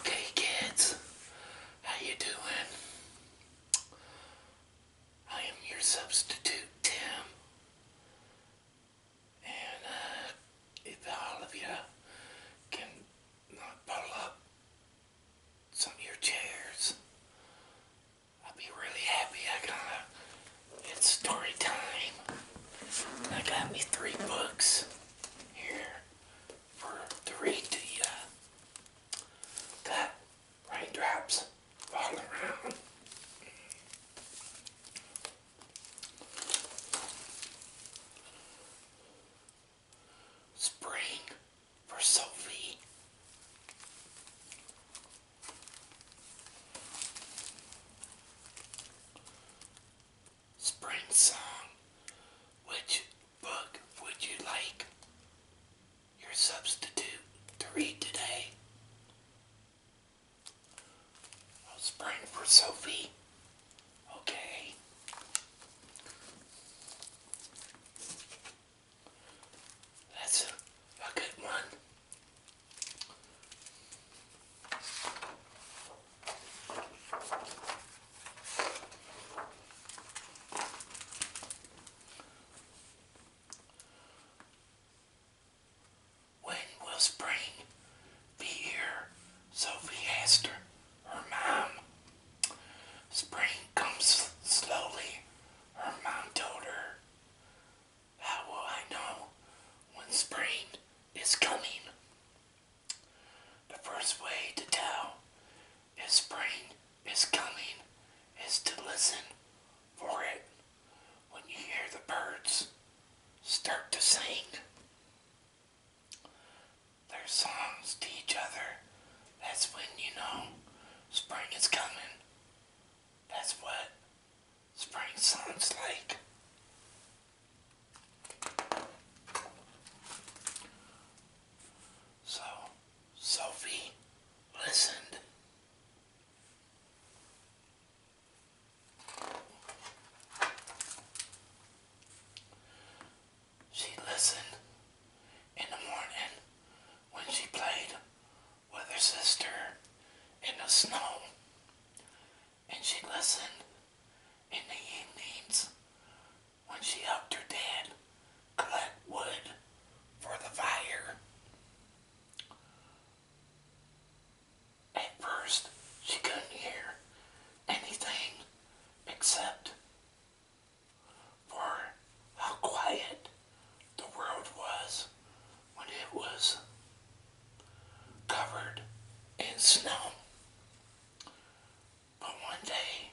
Okay kids, how you doing? I am your substitute Tim. And uh, if all of you can pull up some of your chairs. I'll be really happy. I gotta, it's story time. I got me three books here for to read uh, to you. Got raindrops falling around spring for Sophie. Spring song. Which book would you like your substitute to read today? Oh, spring for Sophie Okay. That's a, good one. When will spring V Sophie asked her, her mom. Spring comes slowly, her mom told her. How will I know when spring is coming? The first way to tell if spring is coming is to listen for it when you hear the birds start to sing their songs to each other. That's when you know spring is coming. That's what spring sounds like. So, Sophie listened. She listened in the morning when she played with her sister in the snow. And she listened in the evenings when she helped her dad collect wood for the fire. At first, she couldn't hear anything except for how quiet the world was when it was covered in snow. But one day,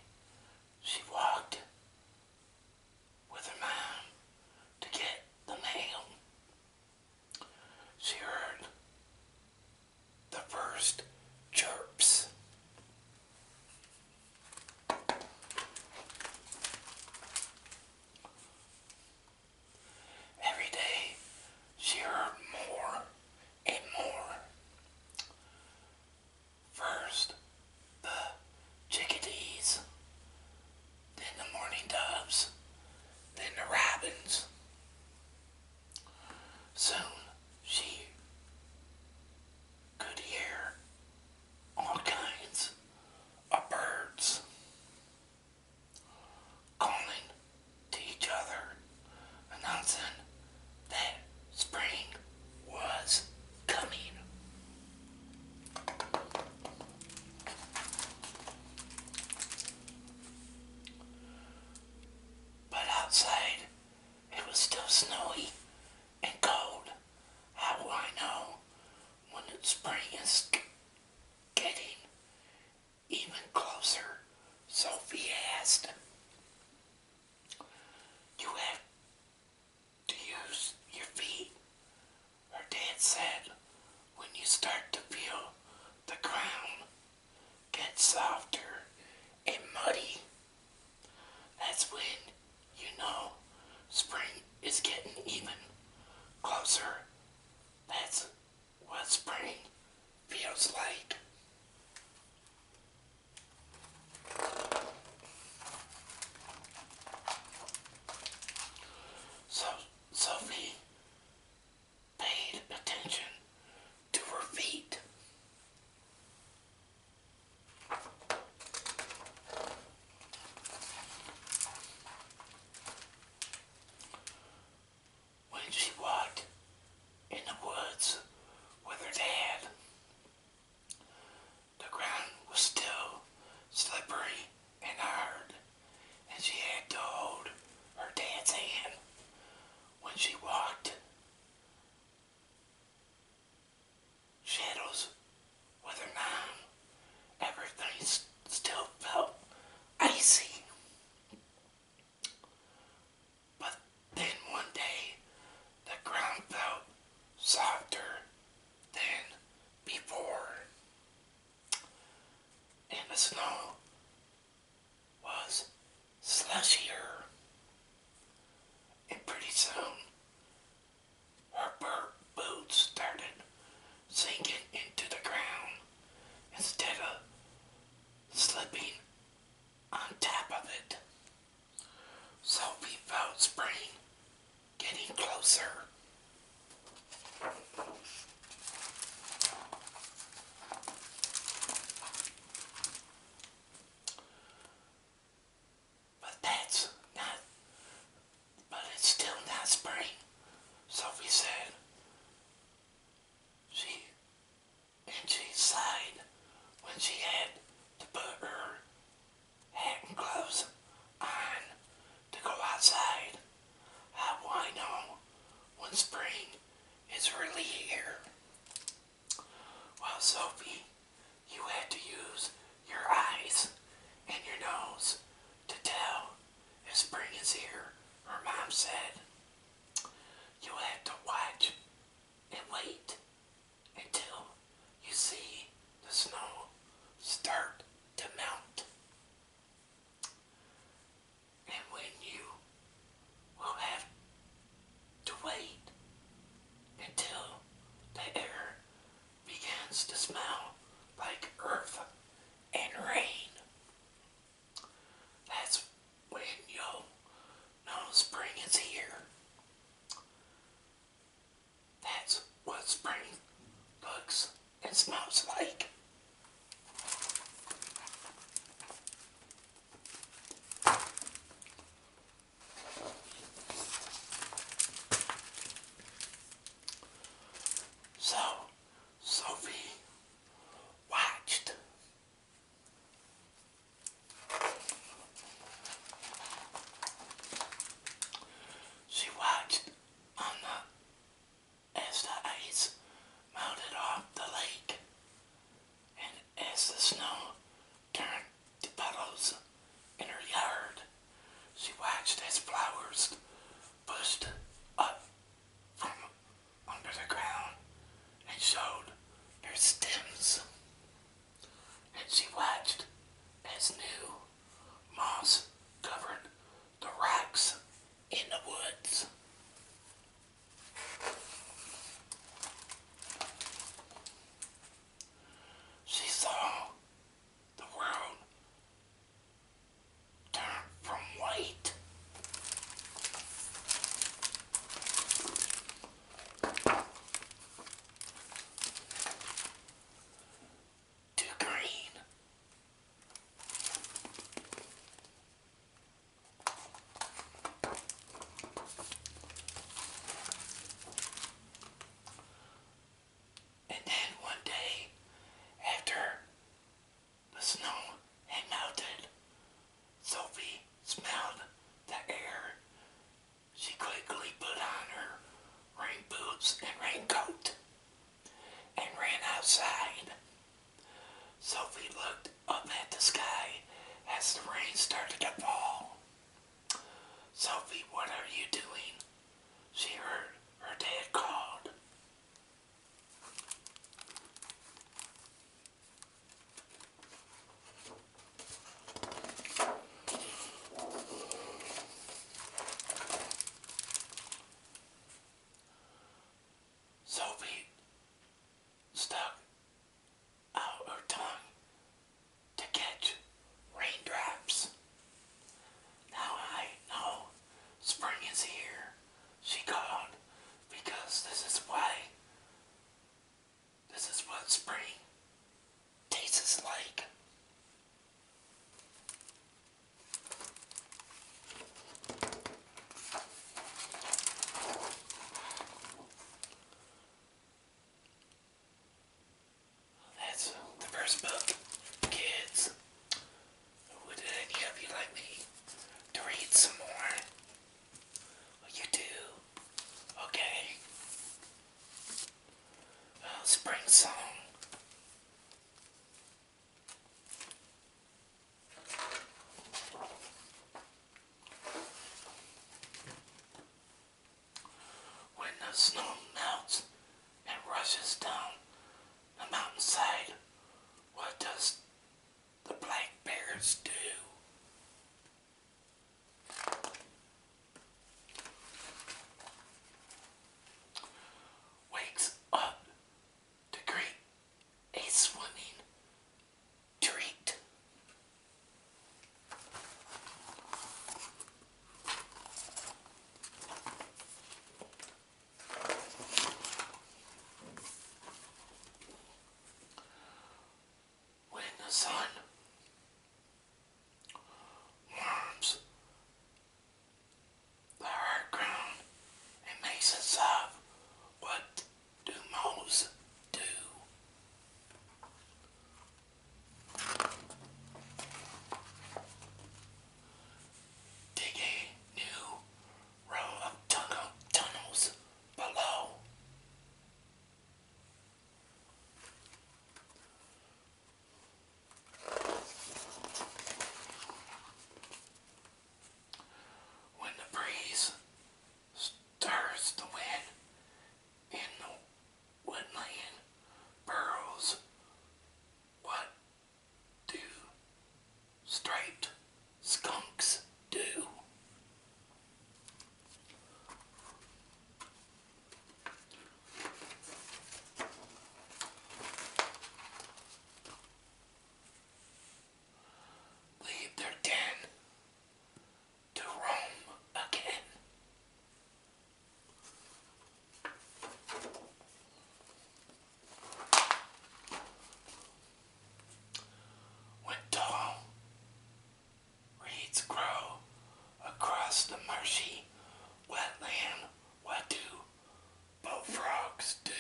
she walked with her mom to get the mail. She heard the first chirps. Every day she heard more and more. First, the chickadees, then the mourning doves, then the robins. Soon she could hear all kinds of birds calling to each other, announcing that spring was coming. But outside it was still snowy and cold. How will I know when spring is getting even closer? Sophie asked. You have to use your feet, her dad said, when you start to feel the ground Gets softer and muddy, that's when you know spring is getting even closer. That's what spring feels like. So Sophie paid attention to her feet. When she walked in the woods with her dad, the ground was still slippery and hard, and she had to hold her dad's hand when she walked shadows whether her knife. Everything still felt icy. But then one day, the ground felt softer than before, and the snow was slushier. And pretty soon, her boots started sinking into the ground instead of slipping on top of it. So we felt spring getting closer. But that's not, but it's still not spring. Sophie said, she, and she sighed when she had to put her hat and gloves on to go outside. How do I know when spring is really here? Well, Sophie, you had to use your eyes and your nose to tell if spring is here, her mom said. You have to watch and wait until you see the snow start to melt. And when you will have to wait until the air begins to smell like earth and rain. That's when you'll know spring here. That's what spring looks and smells like. So, Sophie watched. She watched on the as the ice melted off the lake as the snow turned to petals in her yard. She watched as flowers pushed up from under the ground and showed their stems. And she watched as new moss covered the rocks in the woods. She saw the world turn from white. to green and then one day, after the snow had melted, Sophie smelled the air. She quickly put on her rain boots and raincoat and ran outside. Sophie looked up at the sky as the rain started to fall. Sophie, what are you doing? She heard her dad called. Sophie stuck out her tongue to catch raindrops. Now I know spring is here, she called, because this is why, this is what spring tastes like. That's the first book for kids. Would any of you like me to read some more? you do. Okay. Oh, spring song. When the snow melts and rushes down the mountainside, what does the black bears do? Wakes up to greet a swimming treat. When the sun warms the hard ground and makes up what do moles do? Dig a new row of tunnel tunnels below. When the breeze stirs the wind in the woodland burrows. What do striped skunks do? Leave their den to Rome again. When tall reeds grow across the marshy wetland, what do both do?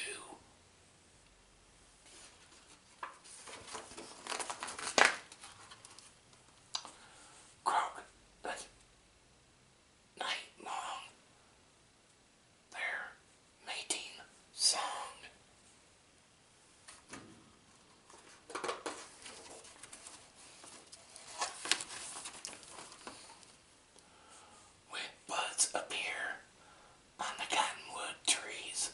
croak the night long their mating song. When buds appear on the cottonwood trees,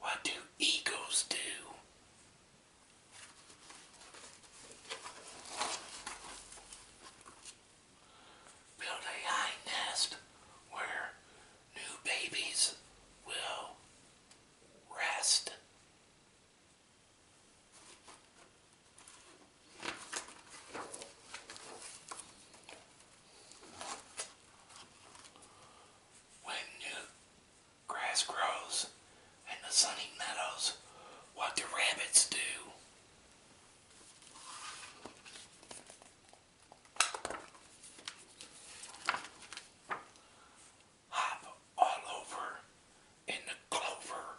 what do eagles do? Build a high nest where new babies will rest. When new Grass grows and the sunny meadows. What do rabbits do? Hop all over in the clover.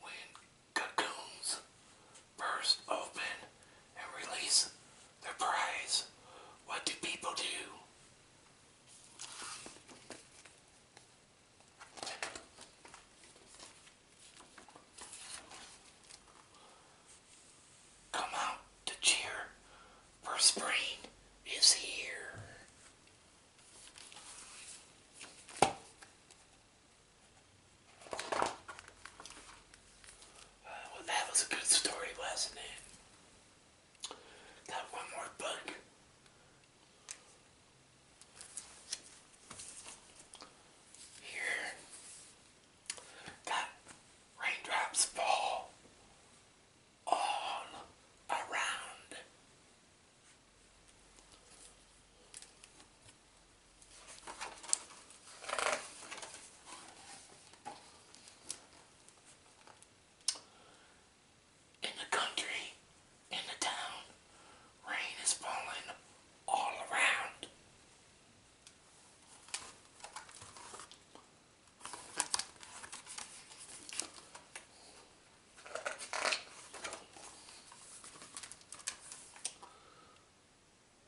When cocoons burst open and release their prize, what do people do? Come out to cheer, spring is here. Well, that was a good story, wasn't it? Got one more book. Here. Got raindrops fall all around. In the country, in the town, rain is falling all around.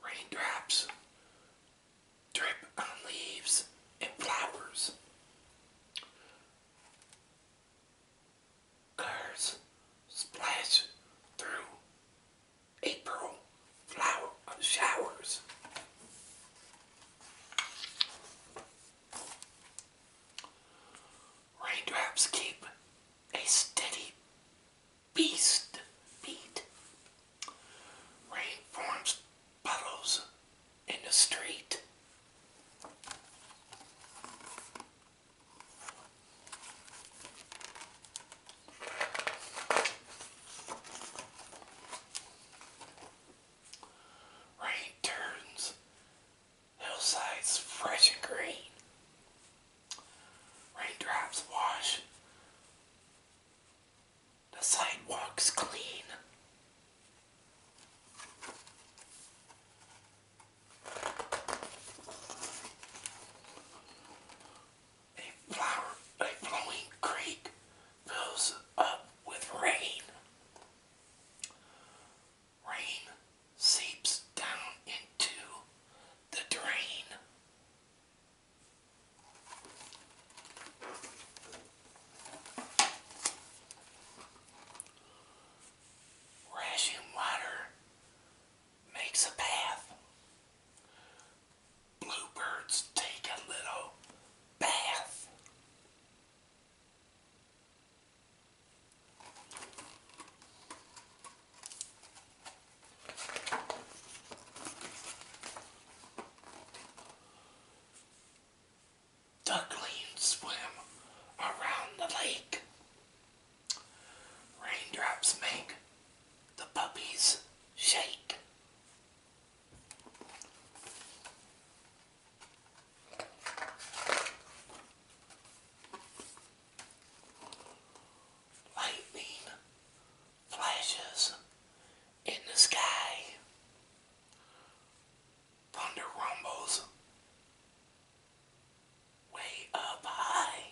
Raindrops drip on leaves and flowers. Cars splash through April showers. Raindrops keep a steady beast beat. Rain forms puddles in the street. Rain turns Hillsides fresh and green. Raindrops wash. The sidewalk's clean. A flower, a flowing creek fills up with rain rain seeps down into the drain. Rushing water makes a path. Bluebirds take a little bath. Ducklings swim around the lake. Raindrops make the puppies shake. Lightning flashes in the sky. Thunder rumbles way up high.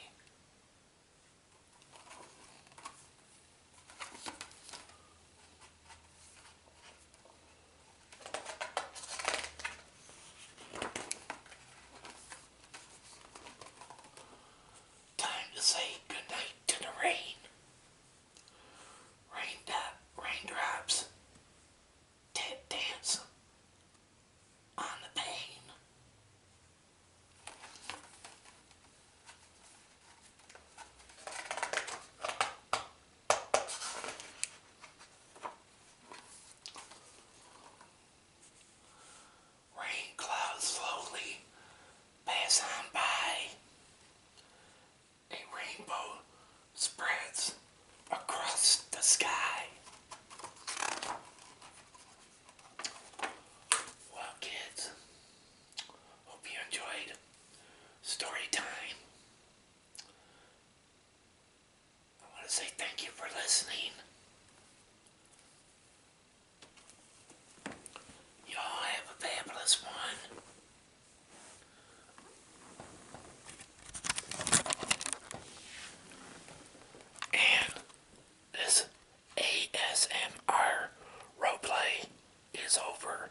Time to say goodnight to the rain. Rain raindrops tap dance on the pane. Rain clouds slowly pass on by. A rainbow spreads across the sky. Well, kids, hope you enjoyed story time. I want to say thank you for listening. Y'all have a fabulous one. And this ASMR roleplay is over.